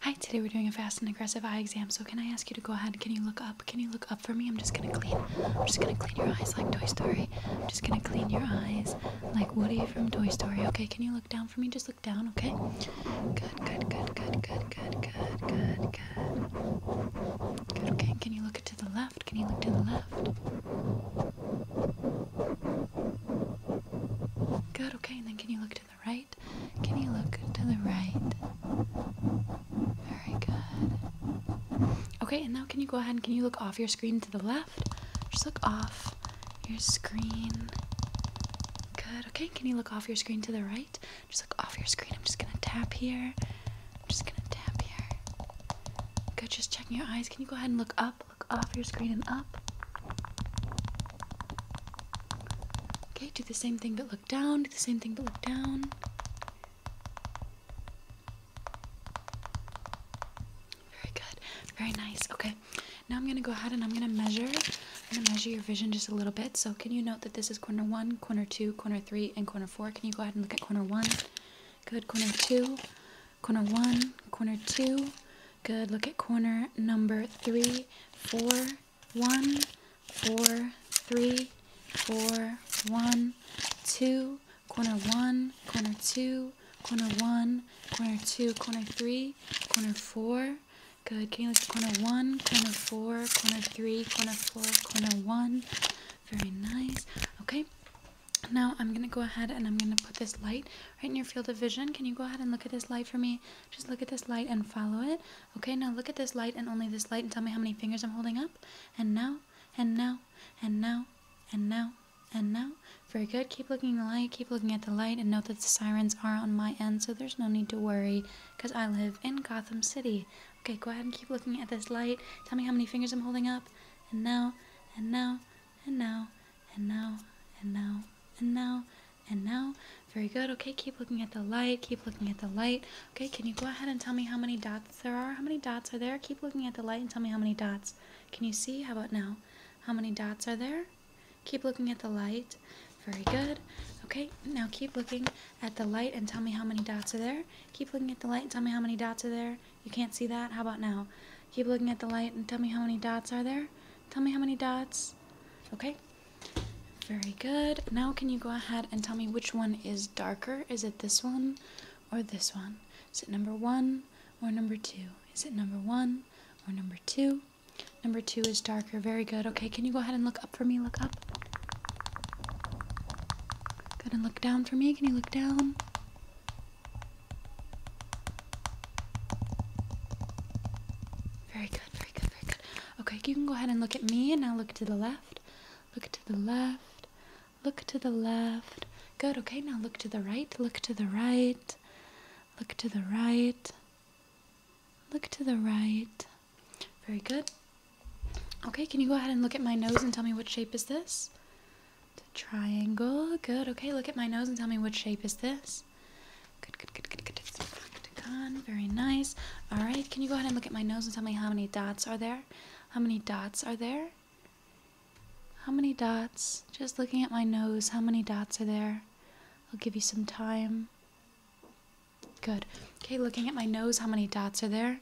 Hi, today we're doing a fast and aggressive eye exam. So can I ask you to go ahead? Can you look up? Can you look up for me? I'm just gonna clean. I'm just gonna clean your eyes like Toy Story. I'm just gonna clean your eyes like Woody from Toy Story. Okay, can you look down for me? Just look down, okay? Good, good, good, good, good, good, good, good, good. Good, okay. Can you look to the left? Can you look to the left? Good, okay, and then can you look to the right? Can you look to the right? Very good. Okay, and now can you go ahead and can you look off your screen to the left? Just look off your screen. Good, okay, can you look off your screen to the right? Just look off your screen. I'm just gonna tap here. I'm just gonna tap here. Good, just check your eyes. Can you go ahead and look up look off your screen and up. Okay, do the same thing but look down, do the same thing but look down. Very good, very nice. Okay, now I'm gonna go ahead and I'm gonna measure. gonna measure your vision just a little bit. So can you note that this is corner one, corner two, corner three, and corner four? Can you go ahead and look at corner one? Good, corner two, corner one, corner two. Good. Look at corner number three, four, one, four, three, four, one, two. Corner one, corner two, corner one, corner two, corner three, corner four. Good. Can you look at corner one, corner four, corner three, corner four, corner one, very nice. Okay. Now I'm gonna go ahead and I'm gonna put this light right in your field of vision. Can you go ahead and look at this light for me? Just look at this light and follow it. Okay, now look at this light and only this light and tell me how many fingers I'm holding up. And now, and now, and now, and now, and now. Very good. Keep looking at the light, keep looking at the light, and note that the sirens are on my end, so there's no need to worry, because I live in Gotham City. Okay, go ahead and keep looking at this light. Tell me how many fingers I'm holding up and now, and now, and now, and now, and now, and now, and now. Very good. Okay, keep looking at the light. Keep looking at the light. Okay, can you go ahead and tell me how many dots there are? How many dots are there? Keep looking at the light and tell me how many dots. Can you see? How about now? How many dots are there? Keep looking at the light. Very good. Okay, now keep looking at the light and tell me how many dots are there. Keep looking at the light and tell me how many dots are there. You can't see that? How about now? Keep looking at the light and tell me how many dots are there. Tell me how many dots. Okay. Very good. Now can you go ahead and tell me which one is darker? Is it this one or this one? Is it number one or number two? Is it number one or number two? Number two is darker. Very good. Okay, can you go ahead and look up for me? Look up. Gonna look down for me. Can you look down? Very good, very good, very good. Okay, you can go ahead and look at me and now look to the left. Look to the left. Look to the left. Good, okay, now look to the right. Look to the right. Look to the right. Look to the right. Very good. Okay, can you go ahead and look at my nose and tell me what shape is this? It's a triangle. Good. Okay, look at my nose and tell me what shape is this? Good, good, good, good, good. It's Very nice. All right, can you go ahead and look at my nose and tell me how many dots are there? How many dots are there? How many dots? Just looking at my nose, how many dots are there? I'll give you some time. Good. Okay, looking at my nose, how many dots are there?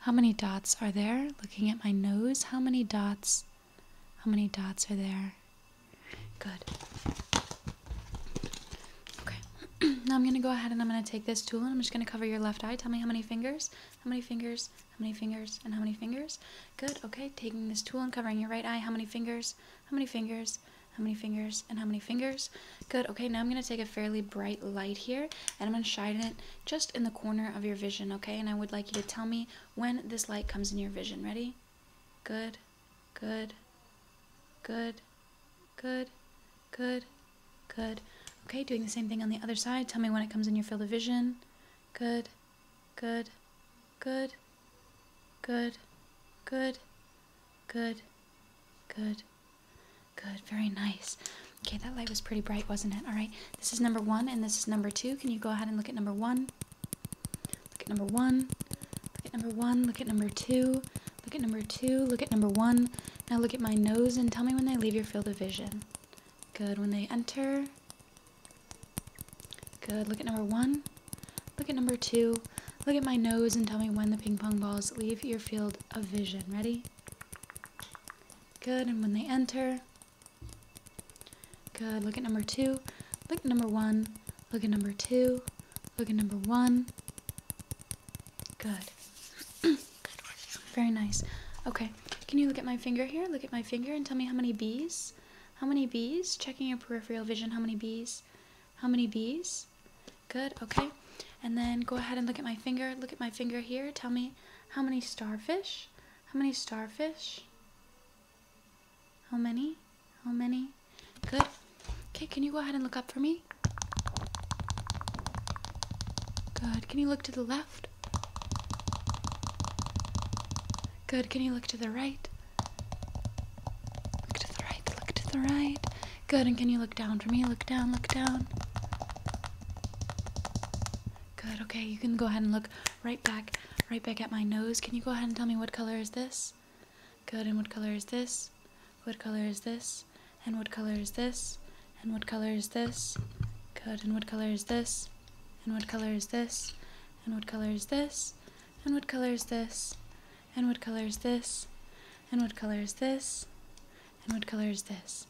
How many dots are there? Looking at my nose, how many dots? How many dots are there? Good. Okay. now I'm going to go ahead and I'm going to take this tool and I'm just going to cover your left eye. Tell me how many fingers? How many fingers? How many fingers? And how many fingers? Good. Okay. Taking this tool and covering your right eye. How many fingers? How many fingers? how many fingers, and how many fingers. Good, okay, now I'm gonna take a fairly bright light here, and I'm gonna shine it just in the corner of your vision, okay? And I would like you to tell me when this light comes in your vision. Ready? Good, good, good, good, good, good. Okay, doing the same thing on the other side. Tell me when it comes in your field of vision. Good, good, good, good, good, Good. Good. Good. Very nice. Okay, that light was pretty bright, wasn't it? All right. This is number one, and this is number two. Can you go ahead and look at number one? Look at number one. Look at number one. Look at number two. Look at number two. Look at number one. Now look at my nose and tell me when they leave your field of vision. Good. When they enter. Good. Look at number one. Look at number two. Look at my nose and tell me when the ping pong balls leave your field of vision. Ready? Good, and when they enter. Good, look at number two. Look at number one. Look at number two. Look at number one. Good. Very nice. Okay, can you look at my finger here? Look at my finger and tell me how many bees? How many bees? Checking your peripheral vision, how many bees? How many bees? Good, okay. And then go ahead and look at my finger. Look at my finger here. Tell me how many starfish? How many starfish? How many? How many? Good. Okay, can you go ahead and look up for me? Good. Can you look to the left? Good. Can you look to the right? Look to the right, look to the right. Good, and can you look down for me? Look down, look down. Good, okay, you can go ahead and look right back, right back at my nose. Can you go ahead and tell me what color is this? Good, and what color is this? What color is this? And what color is this? And what color is this? Good, and what color is this? And what color is this? And what color is this? And what color is this? And what color is this? And what color is this? And what color is this?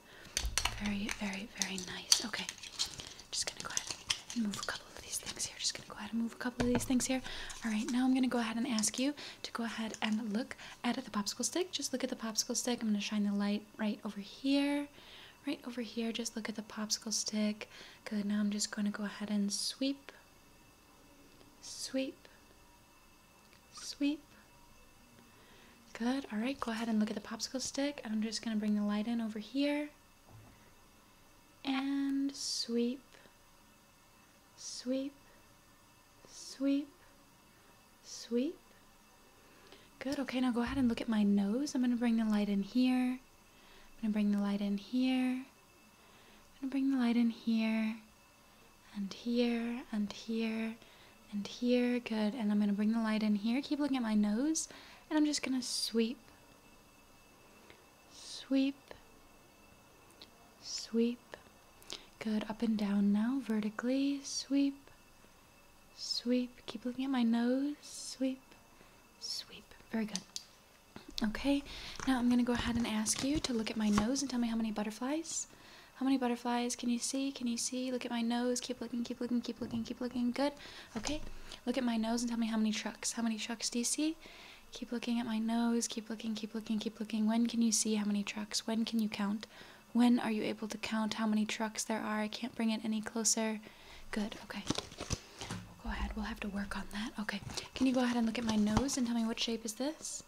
Very, very, very nice. Okay. Just gonna go ahead and move a couple of these things here. Just gonna go ahead and move a couple of these things here. All right, now I'm gonna go ahead and ask you to go ahead and look at the popsicle stick. Just look at the popsicle stick. I'm gonna shine the light right over here right over here just look at the popsicle stick good now I'm just going to go ahead and sweep sweep sweep good all right go ahead and look at the popsicle stick I'm just going to bring the light in over here and sweep sweep sweep sweep good okay now go ahead and look at my nose I'm gonna bring the light in here I'm going to bring the light in here. I'm going to bring the light in here and here and here and here. Good. And I'm going to bring the light in here. Keep looking at my nose. And I'm just going to sweep, sweep, sweep. Good. Up and down now, vertically. Sweep, sweep. Keep looking at my nose. Sweep, sweep. Very good. Okay, now I'm going to go ahead and ask you to look at my nose and tell me how many butterflies. How many butterflies can you see? Can you see? Look at my nose. Keep looking, keep looking, keep looking, keep looking. Good. Okay, look at my nose and tell me how many trucks. How many trucks do you see? Keep looking at my nose. Keep looking, keep looking, keep looking. When can you see how many trucks? When can you count? When are you able to count how many trucks there are? I can't bring it any closer. Good. Okay. We'll go ahead. We'll have to work on that. Okay. Can you go ahead and look at my nose and tell me what shape is this?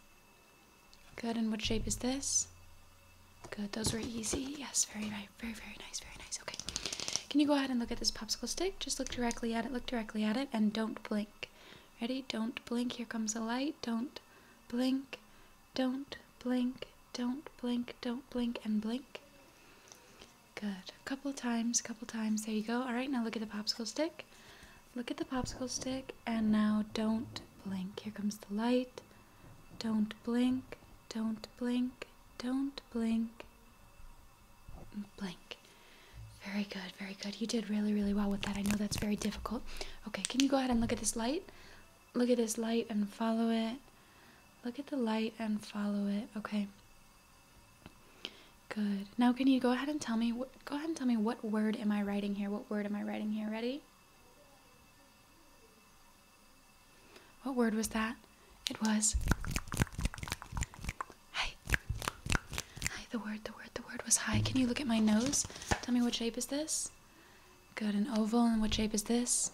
Good. And what shape is this? Good. Those were easy. Yes. Very right. Very very nice. Very nice. Okay. Can you go ahead and look at this popsicle stick? Just look directly at it. Look directly at it and don't blink. Ready? Don't blink. Here comes a light. Don't blink. Don't blink, don't blink, don't blink, and blink. Good. A couple times, couple times. There you go. All right, now look at the popsicle stick. Look at the popsicle stick, and now don't blink. Here comes the light. Don't blink, don't blink, don't blink, blink. Very good, very good. You did really, really well with that. I know that's very difficult. Okay, can you go ahead and look at this light? look at this light and follow it. Look at the light and follow it. Okay. Good. Now can you go ahead and tell me what go ahead and tell me what word am I writing here? What word am I writing here? Ready? What word was that? It was Hi. Hi, the word, the word, the word was hi. Can you look at my nose? Tell me what shape is this? Good. An oval. And what shape is this?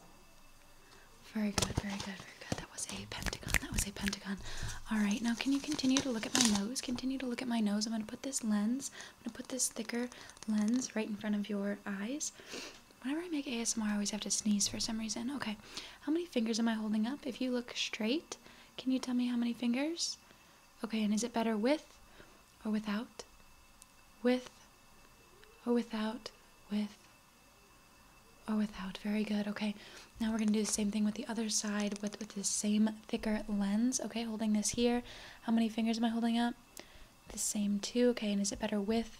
Very good. Very good. Very good. That was a pentagon. That was a pentagon. All right. Now, can you continue to look at my nose? Continue to look at my nose. I'm going to put this lens. I'm going to put this thicker lens right in front of your eyes. Whenever I make ASMR, I always have to sneeze for some reason. Okay. How many fingers am I holding up? If you look straight, can you tell me how many fingers? Okay. And is it better with or without, with or without, with or without. Very good. Okay, now we're going to do the same thing with the other side with, with the same thicker lens. Okay, holding this here. How many fingers am I holding up? The same two. Okay, and is it better with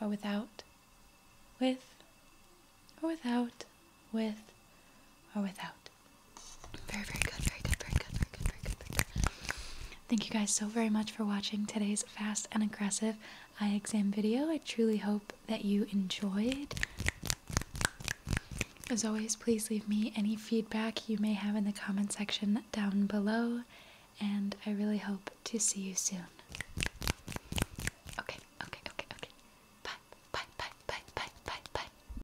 or without? With or without, with or without. Very, very good, very good, very good, very good, very good, very good. Thank you guys so very much for watching today's fast and aggressive eye exam video. I truly hope that you enjoyed. As always, please leave me any feedback you may have in the comment section down below, and I really hope to see you soon. Okay, okay, okay, okay. Bye, bye, bye, bye, bye, bye, bye.